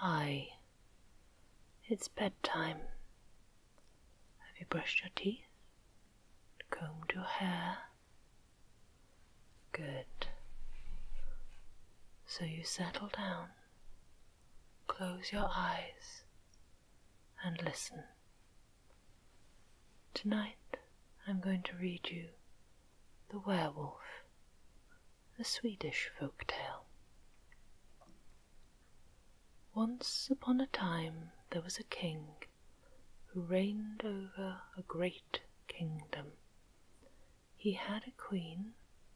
Hi, it's bedtime. Have you brushed your teeth? Combed your hair? Good. So you settle down, close your eyes, and listen. Tonight I'm going to read you The Werewolf a Swedish folk tale. Once upon a time there was a king who reigned over a great kingdom. He had a queen,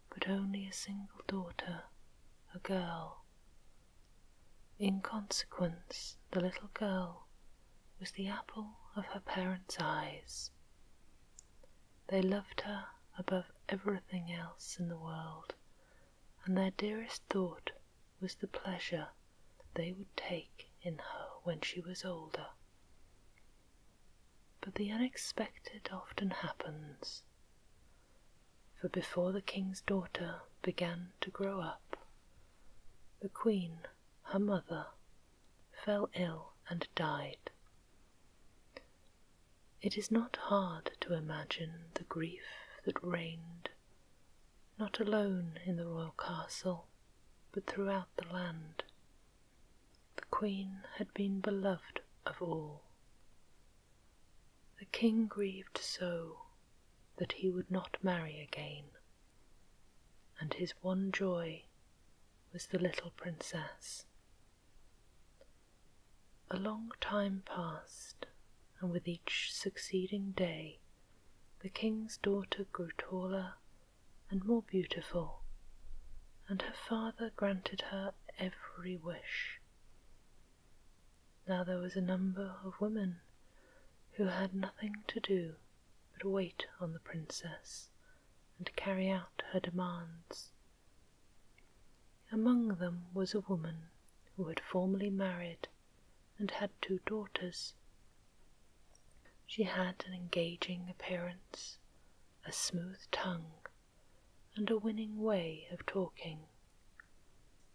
but only a single daughter, a girl. In consequence, the little girl was the apple of her parents' eyes. They loved her above everything else in the world, and their dearest thought was the pleasure they would take in her when she was older. But the unexpected often happens, for before the king's daughter began to grow up, the queen, her mother, fell ill and died. It is not hard to imagine the grief that reigned, not alone in the royal castle, but throughout the land. The queen had been beloved of all. The king grieved so that he would not marry again, and his one joy was the little princess a long time passed, and with each succeeding day the king's daughter grew taller and more beautiful, and her father granted her every wish. Now there was a number of women who had nothing to do but wait on the princess and carry out her demands. Among them was a woman who had formerly married and had two daughters. She had an engaging appearance, a smooth tongue, and a winning way of talking,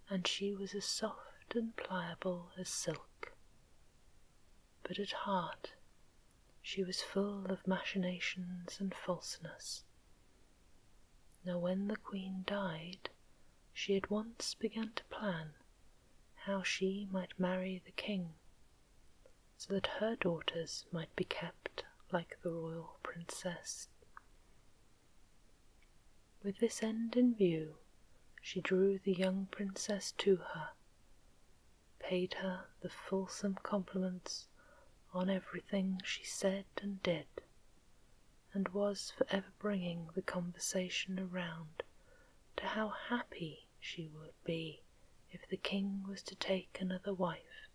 and she was as soft and pliable as silk. But at heart she was full of machinations and falseness. Now, when the queen died, she at once began to plan how she might marry the king, so that her daughters might be kept like the royal princess. With this end in view, she drew the young princess to her, paid her the fulsome compliments on everything she said and did, and was for ever bringing the conversation around to how happy she would be if the king was to take another wife.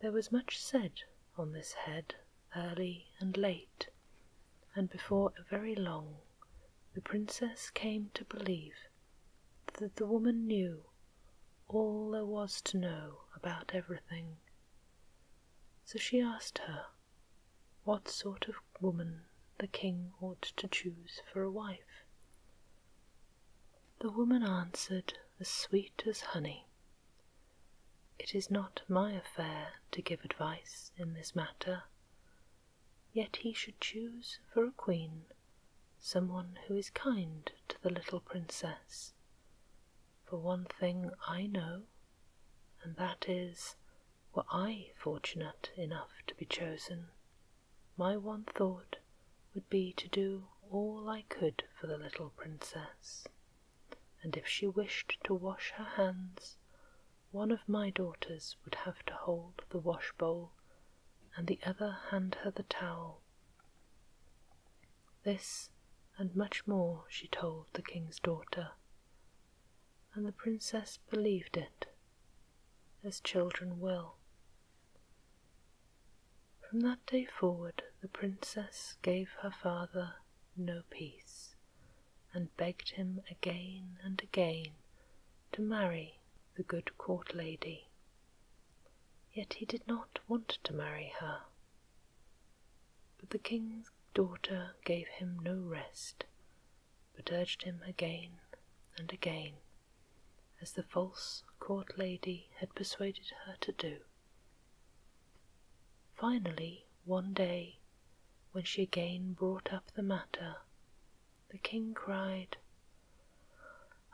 There was much said on this head early and late, and before very long the princess came to believe that the woman knew all there was to know about everything. So she asked her what sort of woman the king ought to choose for a wife. The woman answered as sweet as honey. It is not my affair to give advice in this matter, yet he should choose for a queen someone who is kind to the little princess. For one thing I know, and that is, were I fortunate enough to be chosen, my one thought would be to do all I could for the little princess, and if she wished to wash her hands, one of my daughters would have to hold the washbowl and the other hand her the towel. This and much more she told the king's daughter, and the princess believed it, as children will. From that day forward, the princess gave her father no peace, and begged him again and again to marry the good court lady. Yet he did not want to marry her. But the king's daughter gave him no rest, but urged him again and again, as the false court lady had persuaded her to do. Finally, one day, when she again brought up the matter, the king cried,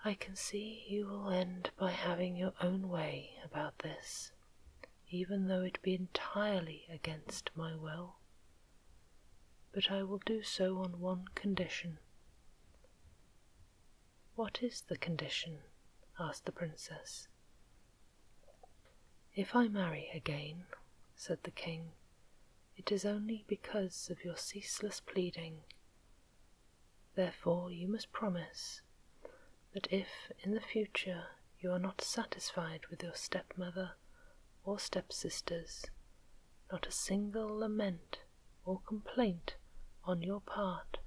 I can see you will end by having your own way about this, even though it be entirely against my will. But I will do so on one condition. What is the condition? asked the princess. If I marry again, said the king, it is only because of your ceaseless pleading Therefore, you must promise that if in the future you are not satisfied with your stepmother or stepsisters, not a single lament or complaint on your part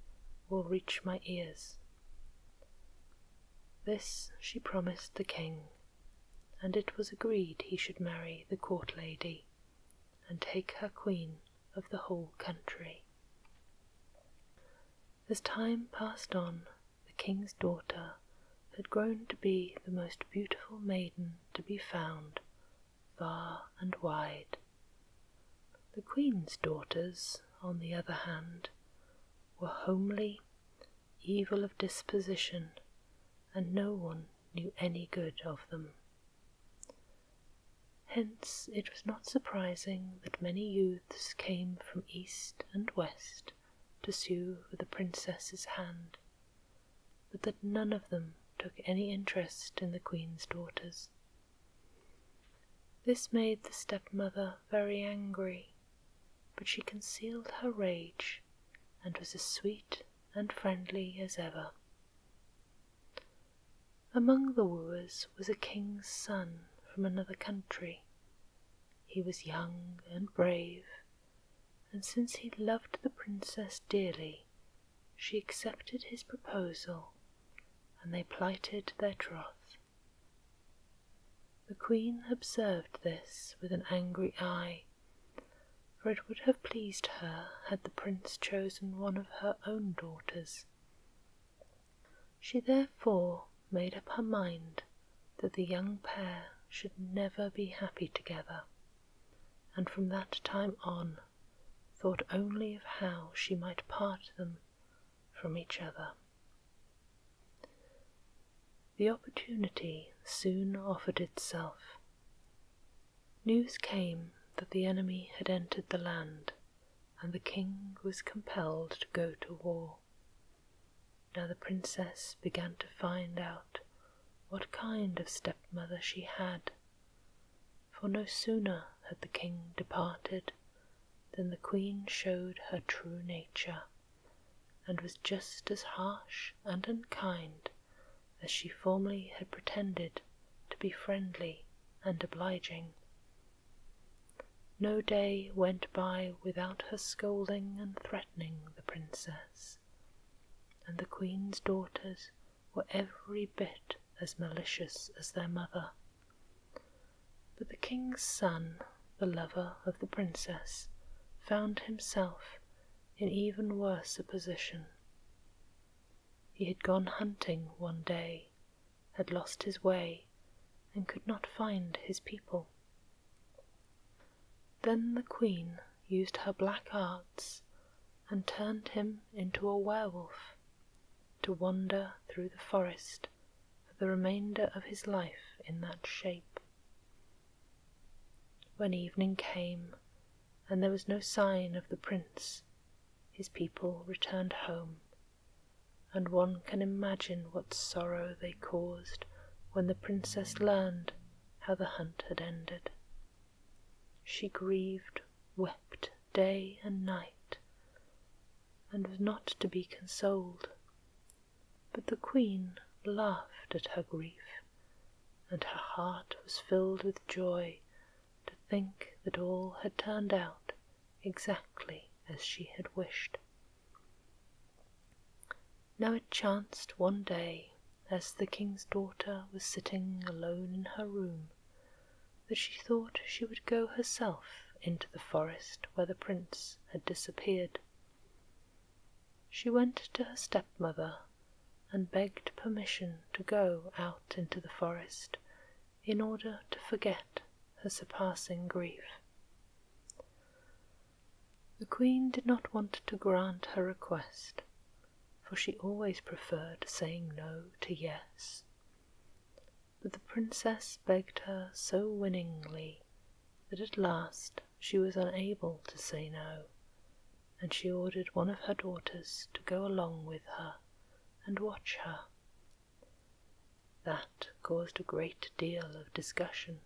will reach my ears. This she promised the king, and it was agreed he should marry the court lady and take her queen of the whole country. As time passed on, the king's daughter had grown to be the most beautiful maiden to be found far and wide. The queen's daughters, on the other hand, were homely, evil of disposition, and no one knew any good of them. Hence it was not surprising that many youths came from east and west to sue for the princess's hand, but that none of them took any interest in the queen's daughters. This made the stepmother very angry, but she concealed her rage and was as sweet and friendly as ever. Among the wooers was a king's son from another country. He was young and brave, and since he loved the princess dearly, she accepted his proposal, and they plighted their troth. The queen observed this with an angry eye, for it would have pleased her had the prince chosen one of her own daughters. She therefore made up her mind that the young pair should never be happy together, and from that time on thought only of how she might part them from each other. The opportunity soon offered itself News came that the enemy had entered the land, and the king was compelled to go to war. Now the princess began to find out what kind of stepmother she had, for no sooner had the king departed than the queen showed her true nature, and was just as harsh and unkind as she formerly had pretended to be friendly and obliging. No day went by without her scolding and threatening the princess, and the queen's daughters were every bit as malicious as their mother. But the king's son, the lover of the princess, found himself in even worse a position. He had gone hunting one day, had lost his way, and could not find his people. Then the queen used her black arts and turned him into a werewolf to wander through the forest for the remainder of his life in that shape. When evening came, and there was no sign of the prince, his people returned home, and one can imagine what sorrow they caused when the princess learned how the hunt had ended. She grieved, wept day and night, and was not to be consoled. But the queen laughed at her grief, and her heart was filled with joy to think that all had turned out exactly as she had wished. Now it chanced one day, as the king's daughter was sitting alone in her room, that she thought she would go herself into the forest where the prince had disappeared. She went to her stepmother and begged permission to go out into the forest in order to forget her surpassing grief. The queen did not want to grant her request, for she always preferred saying no to yes. But the princess begged her so winningly that at last she was unable to say no, and she ordered one of her daughters to go along with her and watch her. That caused a great deal of discussion,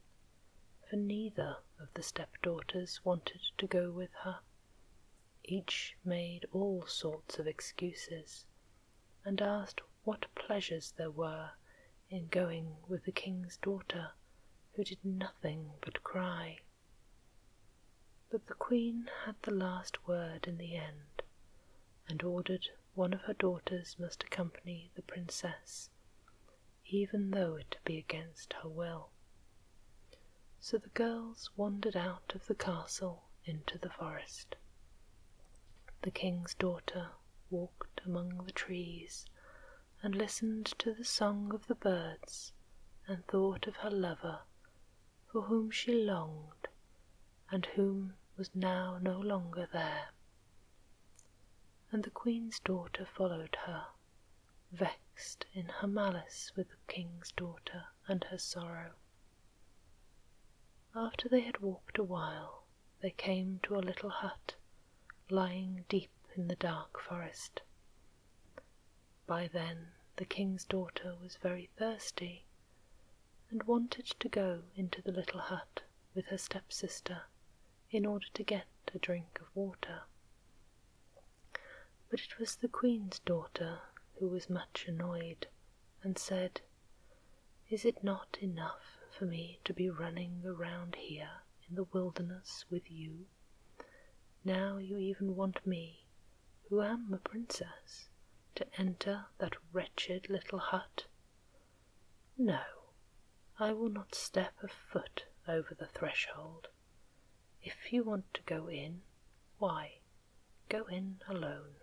for neither of the stepdaughters wanted to go with her. Each made all sorts of excuses, and asked what pleasures there were in going with the king's daughter, who did nothing but cry but the queen had the last word in the end, and ordered one of her daughters must accompany the princess, even though it be against her will. So the girls wandered out of the castle into the forest. The king's daughter walked among the trees and listened to the song of the birds and thought of her lover for whom she longed and whom was now no longer there. And the queen's daughter followed her, vexed in her malice with the king's daughter and her sorrow. After they had walked a while, they came to a little hut lying deep in the dark forest. By then the king's daughter was very thirsty, and wanted to go into the little hut with her stepsister in order to get a drink of water. But it was the queen's daughter who was much annoyed, and said, Is it not enough for me to be running around here in the wilderness with you? Now you even want me who am a princess, to enter that wretched little hut? No, I will not step a foot over the threshold. If you want to go in, why, go in alone.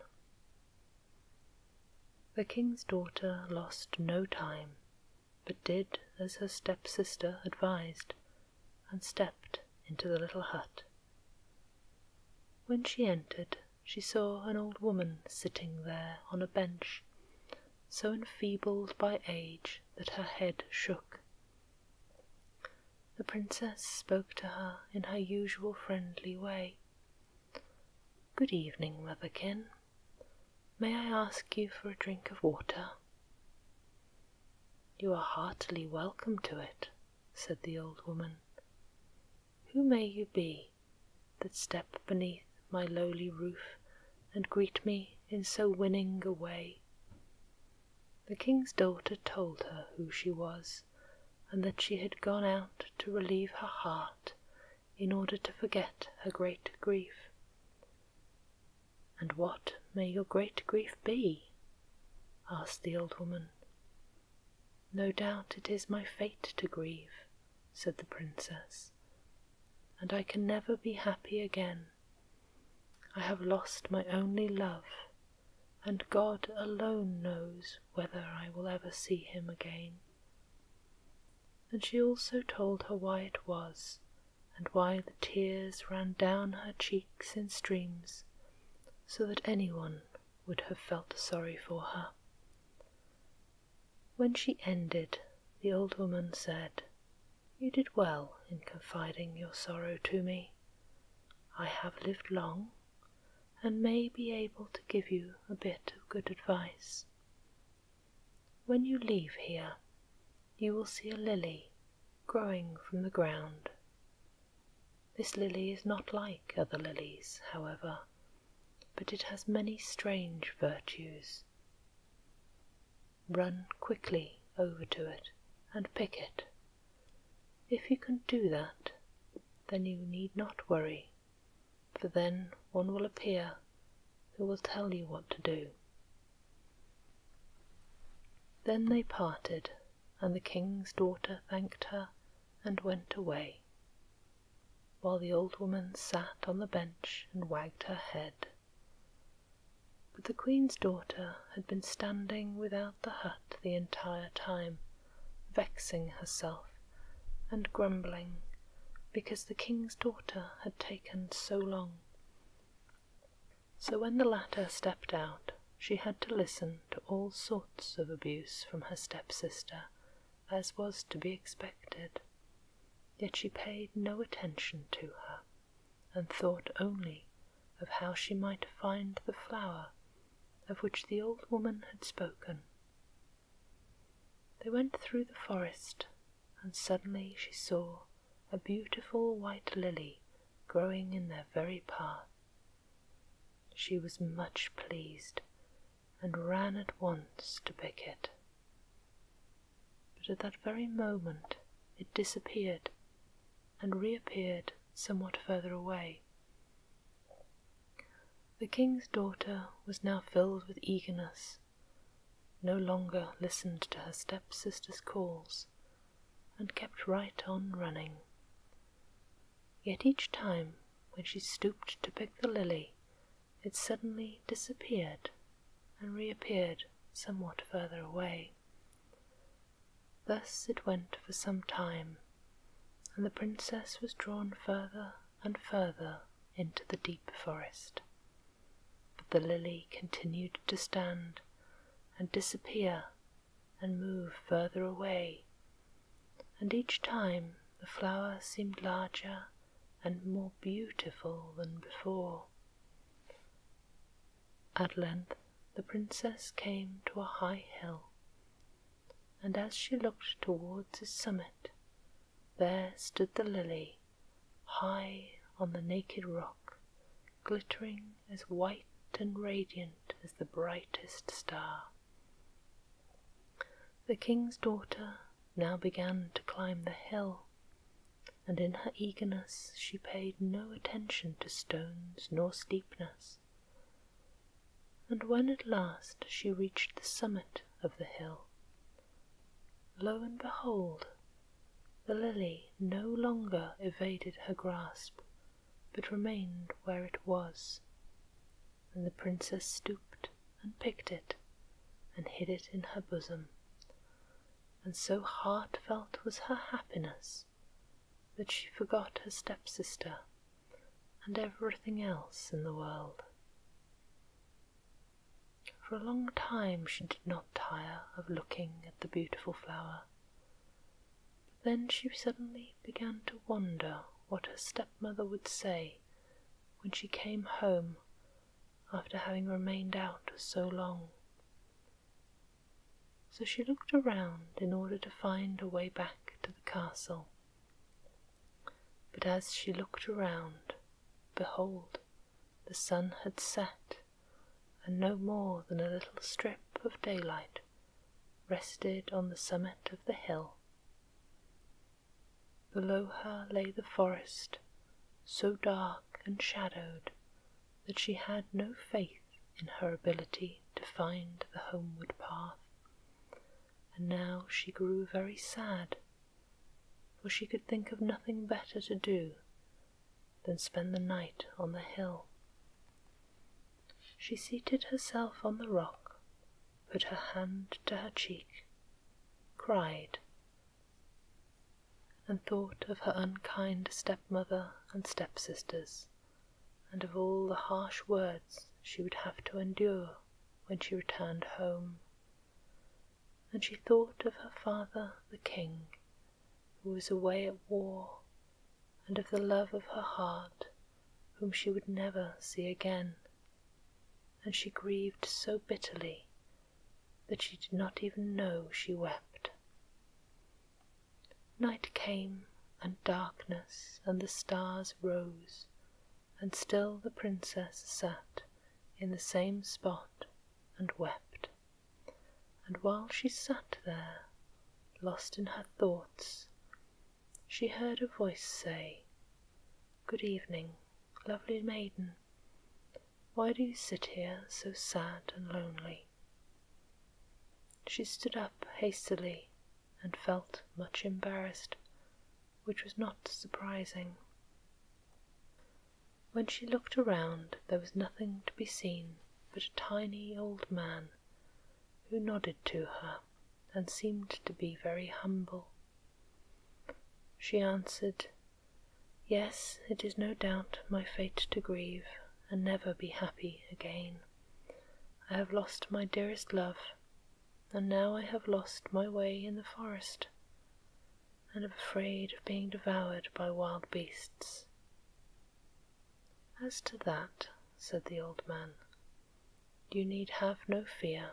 The king's daughter lost no time, but did as her stepsister advised, and stepped into the little hut. When she entered, she saw an old woman sitting there on a bench, so enfeebled by age that her head shook. The princess spoke to her in her usual friendly way. Good evening, motherkin. May I ask you for a drink of water? You are heartily welcome to it, said the old woman, who may you be that step beneath my lowly roof and greet me in so winning a way? The king's daughter told her who she was, and that she had gone out to relieve her heart in order to forget her great grief. And what may your great grief be? asked the old woman. No doubt it is my fate to grieve, said the princess, and I can never be happy again. I have lost my only love, and God alone knows whether I will ever see him again. And she also told her why it was, and why the tears ran down her cheeks in streams, so that anyone would have felt sorry for her. When she ended, the old woman said, You did well in confiding your sorrow to me. I have lived long, and may be able to give you a bit of good advice. When you leave here, you will see a lily growing from the ground this lily is not like other lilies, however, but it has many strange virtues. Run quickly over to it and pick it. If you can do that, then you need not worry, for then one will appear who will tell you what to do. Then they parted and the king's daughter thanked her and went away, while the old woman sat on the bench and wagged her head. But the queen's daughter had been standing without the hut the entire time, vexing herself and grumbling because the king's daughter had taken so long. So when the latter stepped out, she had to listen to all sorts of abuse from her stepsister, as was to be expected. Yet she paid no attention to her, and thought only of how she might find the flower of which the old woman had spoken. They went through the forest, and suddenly she saw a beautiful white lily growing in their very path she was much pleased and ran at once to pick it. But at that very moment it disappeared and reappeared somewhat further away. The king's daughter was now filled with eagerness, no longer listened to her stepsister's calls, and kept right on running. Yet each time when she stooped to pick the lily, it suddenly disappeared and reappeared somewhat further away. Thus it went for some time, and the princess was drawn further and further into the deep forest. But the lily continued to stand and disappear and move further away and each time the flower seemed larger and more beautiful than before. At length the princess came to a high hill, and as she looked towards its summit, there stood the lily, high on the naked rock, glittering as white and radiant as the brightest star. The king's daughter now began to climb the hill, and in her eagerness she paid no attention to stones nor steepness. And when at last she reached the summit of the hill, lo and behold, the lily no longer evaded her grasp but remained where it was. And the princess stooped and picked it, and hid it in her bosom. And so heartfelt was her happiness that she forgot her stepsister and everything else in the world. For a long time she did not tire of looking at the beautiful flower, then she suddenly began to wonder what her stepmother would say when she came home after having remained out so long. So she looked around in order to find a way back to the castle. But as she looked around, behold, the sun had set, and no more than a little strip of daylight rested on the summit of the hill. Below her lay the forest, so dark and shadowed that she had no faith in her ability to find the homeward path, and now she grew very sad, for she could think of nothing better to do than spend the night on the hill. She seated herself on the rock, put her hand to her cheek, cried, and thought of her unkind stepmother and stepsisters, and of all the harsh words she would have to endure when she returned home. And she thought of her father the king, who was away at war and of the love of her heart, whom she would never see again, and she grieved so bitterly that she did not even know she wept. Night came, and darkness, and the stars rose, and still the princess sat in the same spot and wept. And while she sat there, lost in her thoughts, she heard a voice say, Good evening, lovely maiden, why do you sit here so sad and lonely? She stood up hastily and felt much embarrassed, which was not surprising. When she looked around, there was nothing to be seen but a tiny old man who nodded to her and seemed to be very humble. She answered, Yes, it is no doubt my fate to grieve and never be happy again. I have lost my dearest love, and now I have lost my way in the forest, and am afraid of being devoured by wild beasts. As to that, said the old man. You need have no fear.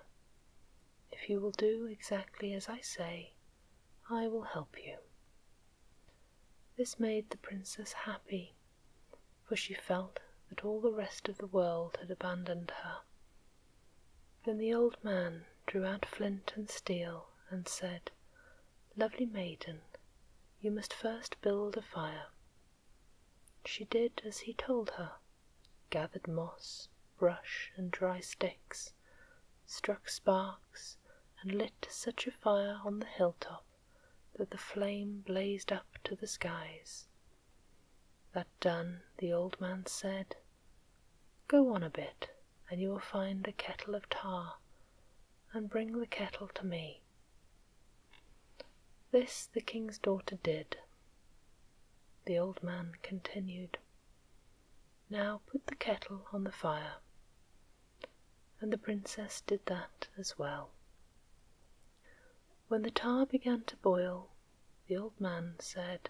If you will do exactly as I say, I will help you. This made the princess happy, for she felt that all the rest of the world had abandoned her. Then the old man drew out flint and steel and said, Lovely maiden, you must first build a fire she did as he told her, gathered moss, brush, and dry sticks, struck sparks, and lit such a fire on the hilltop that the flame blazed up to the skies. That done, the old man said, Go on a bit, and you will find a kettle of tar, and bring the kettle to me. This the king's daughter did. The old man continued, Now put the kettle on the fire. And the princess did that as well. When the tar began to boil, the old man said,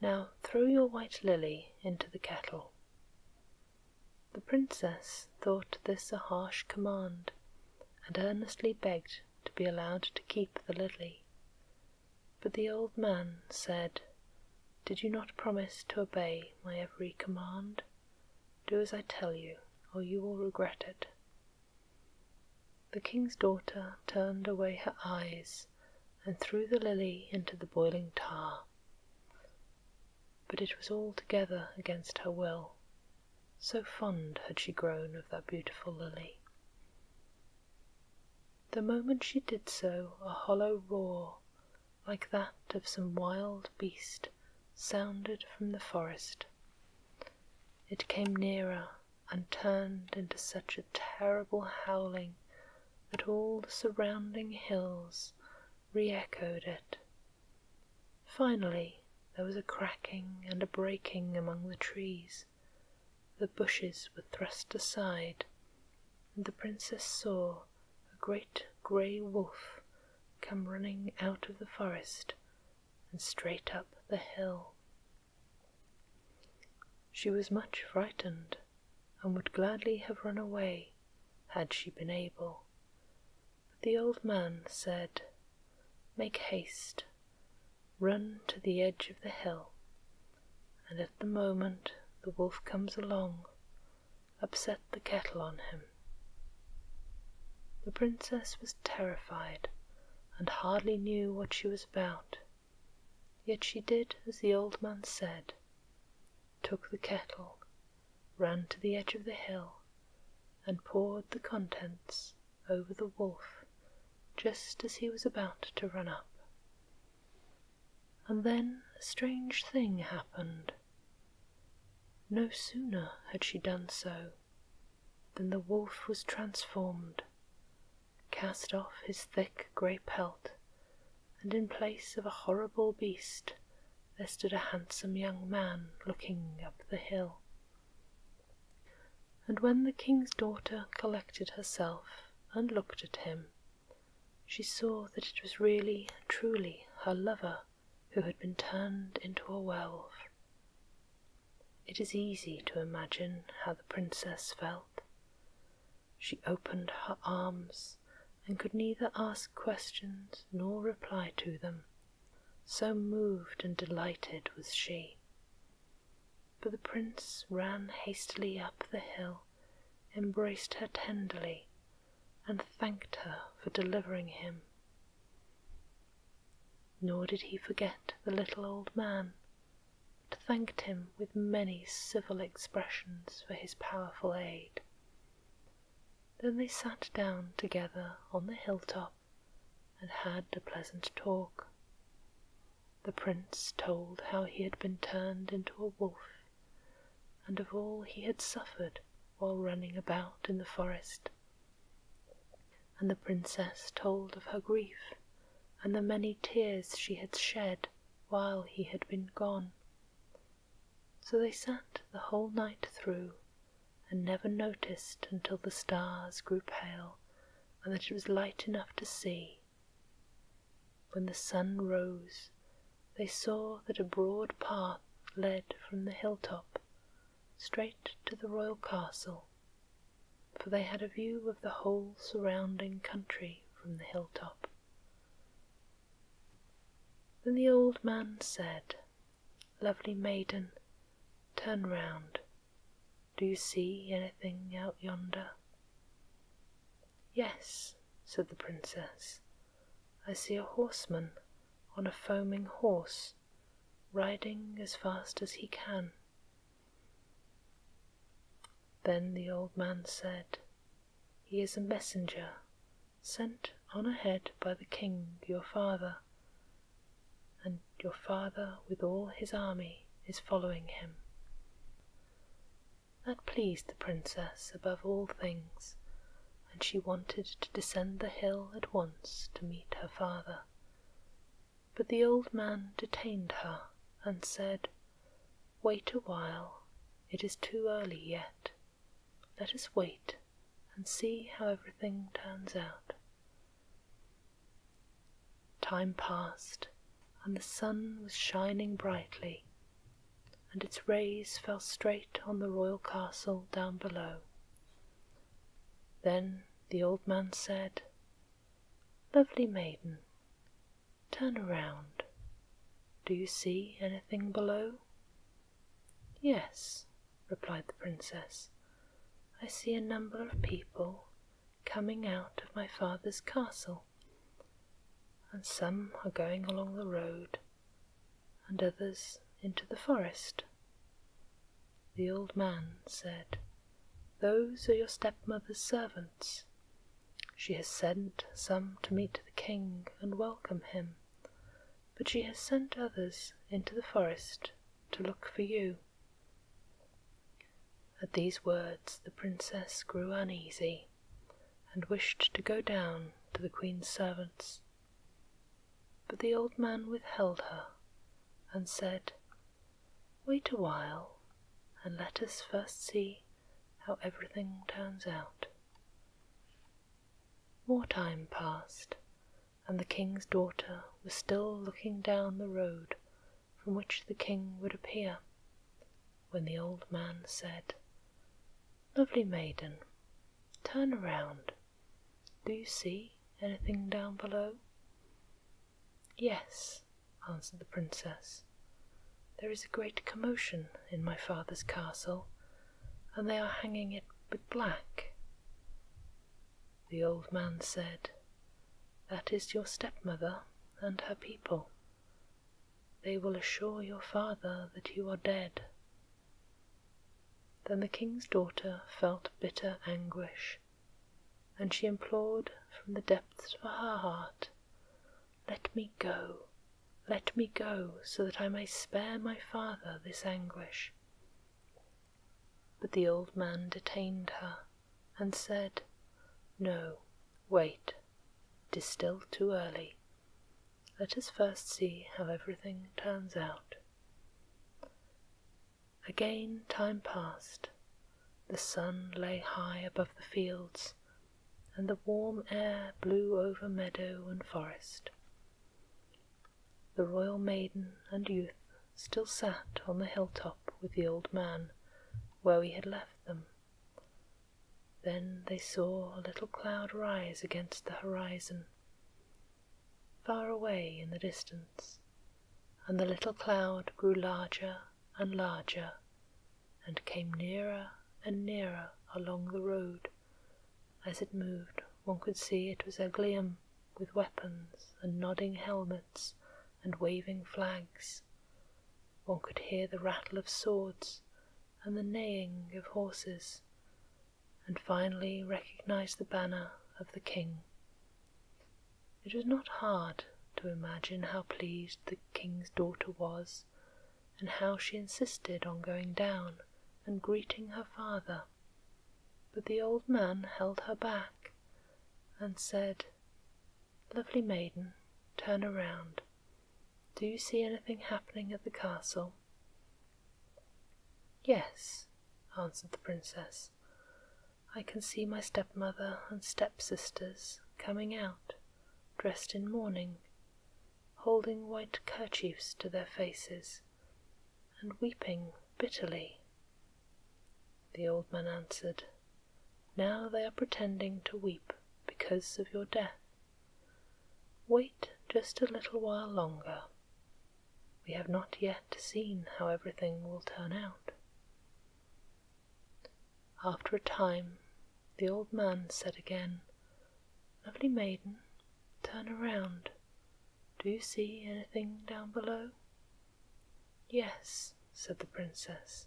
Now throw your white lily into the kettle. The princess thought this a harsh command and earnestly begged to be allowed to keep the lily. But the old man said, Did you not promise to obey my every command? Do as I tell you, or you will regret it. The king's daughter turned away her eyes and threw the lily into the boiling tar. But it was altogether against her will, so fond had she grown of that beautiful lily. The moment she did so, a hollow roar, like that of some wild beast, sounded from the forest. It came nearer and turned into such a terrible howling that all the surrounding hills re echoed it. Finally, there was a cracking and a breaking among the trees, the bushes were thrust aside, and the princess saw a great grey wolf come running out of the forest and straight up the hill. She was much frightened, and would gladly have run away had she been able. The old man said, Make haste, run to the edge of the hill, and at the moment the wolf comes along, upset the kettle on him. The princess was terrified and hardly knew what she was about, yet she did as the old man said, took the kettle, ran to the edge of the hill, and poured the contents over the wolf just as he was about to run up. And then a strange thing happened. No sooner had she done so than the wolf was transformed, cast off his thick grey pelt, and in place of a horrible beast there stood a handsome young man looking up the hill. And when the king's daughter collected herself and looked at him, she saw that it was really and truly her lover who had been turned into a werewolf. It is easy to imagine how the princess felt. She opened her arms and could neither ask questions nor reply to them so moved and delighted was she. But the prince ran hastily up the hill, embraced her tenderly, and thanked her for delivering him. Nor did he forget the little old man, but thanked him with many civil expressions for his powerful aid. Then they sat down together on the hilltop and had a pleasant talk. The prince told how he had been turned into a wolf, and of all he had suffered while running about in the forest. And the princess told of her grief and the many tears she had shed while he had been gone. So they sat the whole night through and never noticed until the stars grew pale and that it was light enough to see. When the sun rose, they saw that a broad path led from the hilltop straight to the royal castle, for they had a view of the whole surrounding country from the hilltop. Then the old man said, lovely maiden, turn round. Do you see anything out yonder? Yes, said the princess, I see a horseman on a foaming horse, riding as fast as he can. Then the old man said, He is a messenger sent on ahead by the king your father and your father with all his army is following him. That pleased the princess above all things, and she wanted to descend the hill at once to meet her father. But the old man detained her and said, Wait a while, it is too early yet. Let us wait and see how everything turns out. Time passed, and the sun was shining brightly, and its rays fell straight on the royal castle down below. Then the old man said, Lovely maiden, turn around. Do you see anything below? Yes, replied the princess. I see a number of people coming out of my father's castle, and some are going along the road, and others into the forest. The old man said, Those are your stepmother's servants. She has sent some to meet the king and welcome him, but she has sent others into the forest to look for you. At these words the princess grew uneasy, and wished to go down to the queen's servants. But the old man withheld her, and said, Wait a while, and let us first see how everything turns out. More time passed, and the king's daughter was still looking down the road from which the king would appear, when the old man said, Lovely maiden, turn around. Do you see anything down below? Yes, answered the princess. There is a great commotion in my father's castle, and they are hanging it with black. The old man said, That is your stepmother and her people. They will assure your father that you are dead. Then the king's daughter felt bitter anguish, and she implored from the depths of her heart, Let me go, let me go, so that I may spare my father this anguish. But the old man detained her, and said, No, wait, it is still too early. Let us first see how everything turns out. Again time passed. The sun lay high above the fields, and the warm air blew over meadow and forest. The royal maiden and youth still sat on the hilltop with the old man where we had left them. Then they saw a little cloud rise against the horizon, far away in the distance, and the little cloud grew larger and larger and came nearer and nearer along the road. As it moved, one could see it was a Erglium with weapons and nodding helmets and waving flags. One could hear the rattle of swords and the neighing of horses, and finally recognize the banner of the king. It was not hard to imagine how pleased the king's daughter was, and how she insisted on going down and greeting her father. But the old man held her back and said, Lovely maiden, turn around. Do you see anything happening at the castle? Yes, answered the princess. I can see my stepmother and stepsisters coming out, dressed in mourning, holding white kerchiefs to their faces and weeping bitterly. The old man answered, Now they are pretending to weep because of your death. Wait just a little while longer. We have not yet seen how everything will turn out. After a time, the old man said again, Lovely maiden, turn around. Do you see anything down below? Yes, said the princess,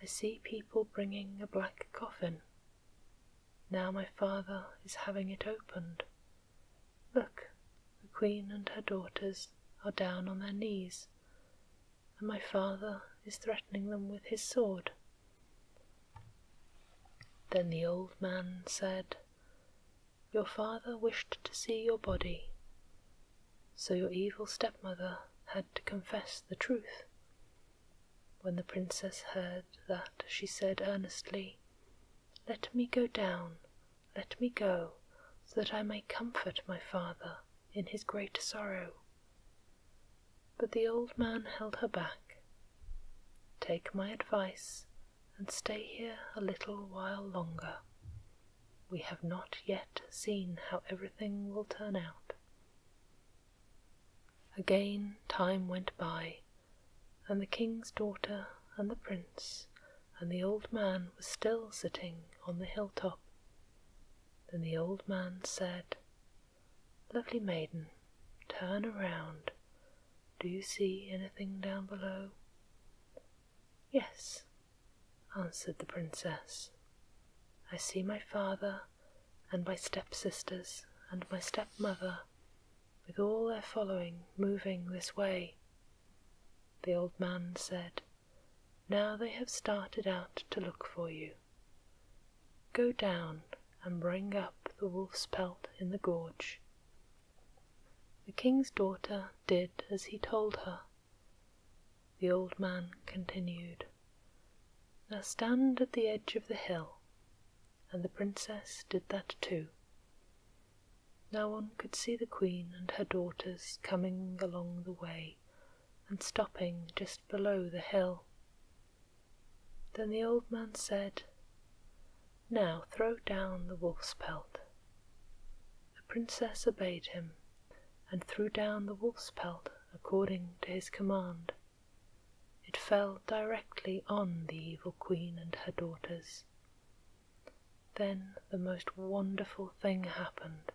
I see people bringing a black coffin. Now my father is having it opened. Look, the queen and her daughters are down on their knees, and my father is threatening them with his sword. Then the old man said, your father wished to see your body, so your evil stepmother had to confess the truth. When the princess heard that, she said earnestly, Let me go down, let me go, so that I may comfort my father in his great sorrow. But the old man held her back. Take my advice and stay here a little while longer. We have not yet seen how everything will turn out. Again time went by, and the king's daughter and the prince and the old man were still sitting on the hilltop. Then the old man said, Lovely maiden, turn around. Do you see anything down below? Yes, answered the princess. I see my father and my stepsisters and my stepmother with all their following moving this way. The old man said, Now they have started out to look for you. Go down and bring up the wolf's pelt in the gorge. The king's daughter did as he told her. The old man continued, Now stand at the edge of the hill, and the princess did that too. Now one could see the queen and her daughters coming along the way and stopping just below the hill. Then the old man said, now throw down the wolf's pelt. The princess obeyed him, and threw down the wolf's pelt according to his command. It fell directly on the evil queen and her daughters. Then the most wonderful thing happened.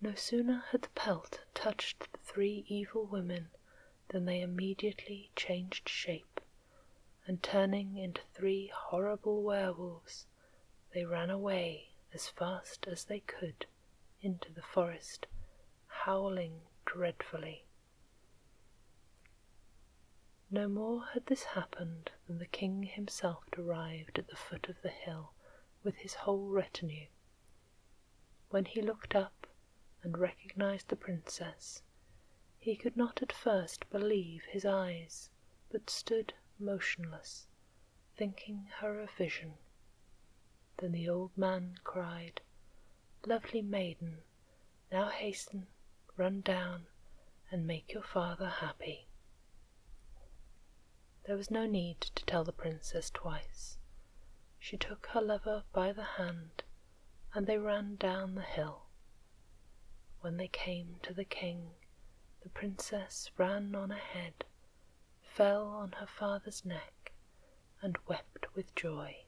No sooner had the pelt touched the three evil women than they immediately changed shape and turning into three horrible werewolves, they ran away as fast as they could into the forest, howling dreadfully. No more had this happened than the king himself arrived at the foot of the hill with his whole retinue. When he looked up and recognized the princess, he could not at first believe his eyes but stood motionless, thinking her a vision. Then the old man cried, Lovely maiden, now hasten, run down, and make your father happy. There was no need to tell the princess twice. She took her lover by the hand, and they ran down the hill. When they came to the king, the princess ran on ahead, fell on her father's neck, and wept with joy.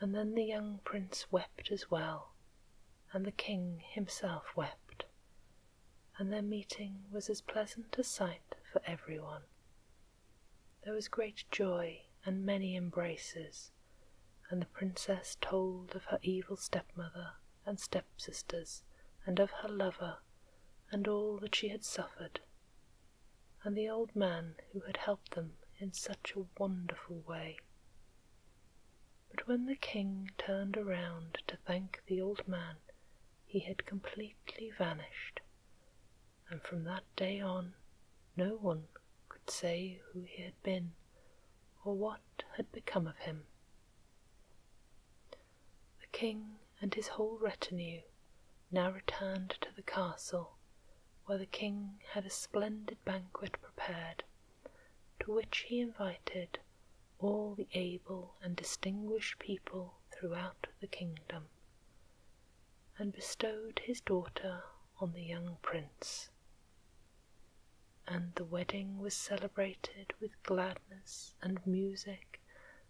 And then the young prince wept as well, and the king himself wept, and their meeting was as pleasant a sight for everyone. There was great joy and many embraces, and the princess told of her evil stepmother and stepsisters, and of her lover, and all that she had suffered, and the old man who had helped them in such a wonderful way. But when the king turned around to thank the old man, he had completely vanished, and from that day on no one could say who he had been or what had become of him. The king and his whole retinue now returned to the castle, where the king had a splendid banquet prepared, to which he invited all the able and distinguished people throughout the kingdom, and bestowed his daughter on the young prince and the wedding was celebrated with gladness and music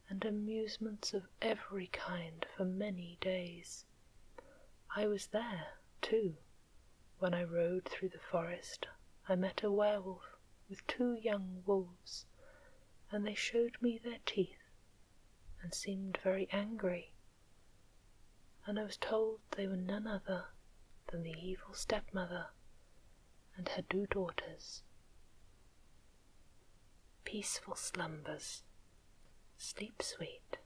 and amusements of every kind for many days. I was there, too. When I rode through the forest, I met a werewolf with two young wolves, and they showed me their teeth and seemed very angry and I was told they were none other than the evil stepmother and her two daughters. Peaceful slumbers, sleep sweet.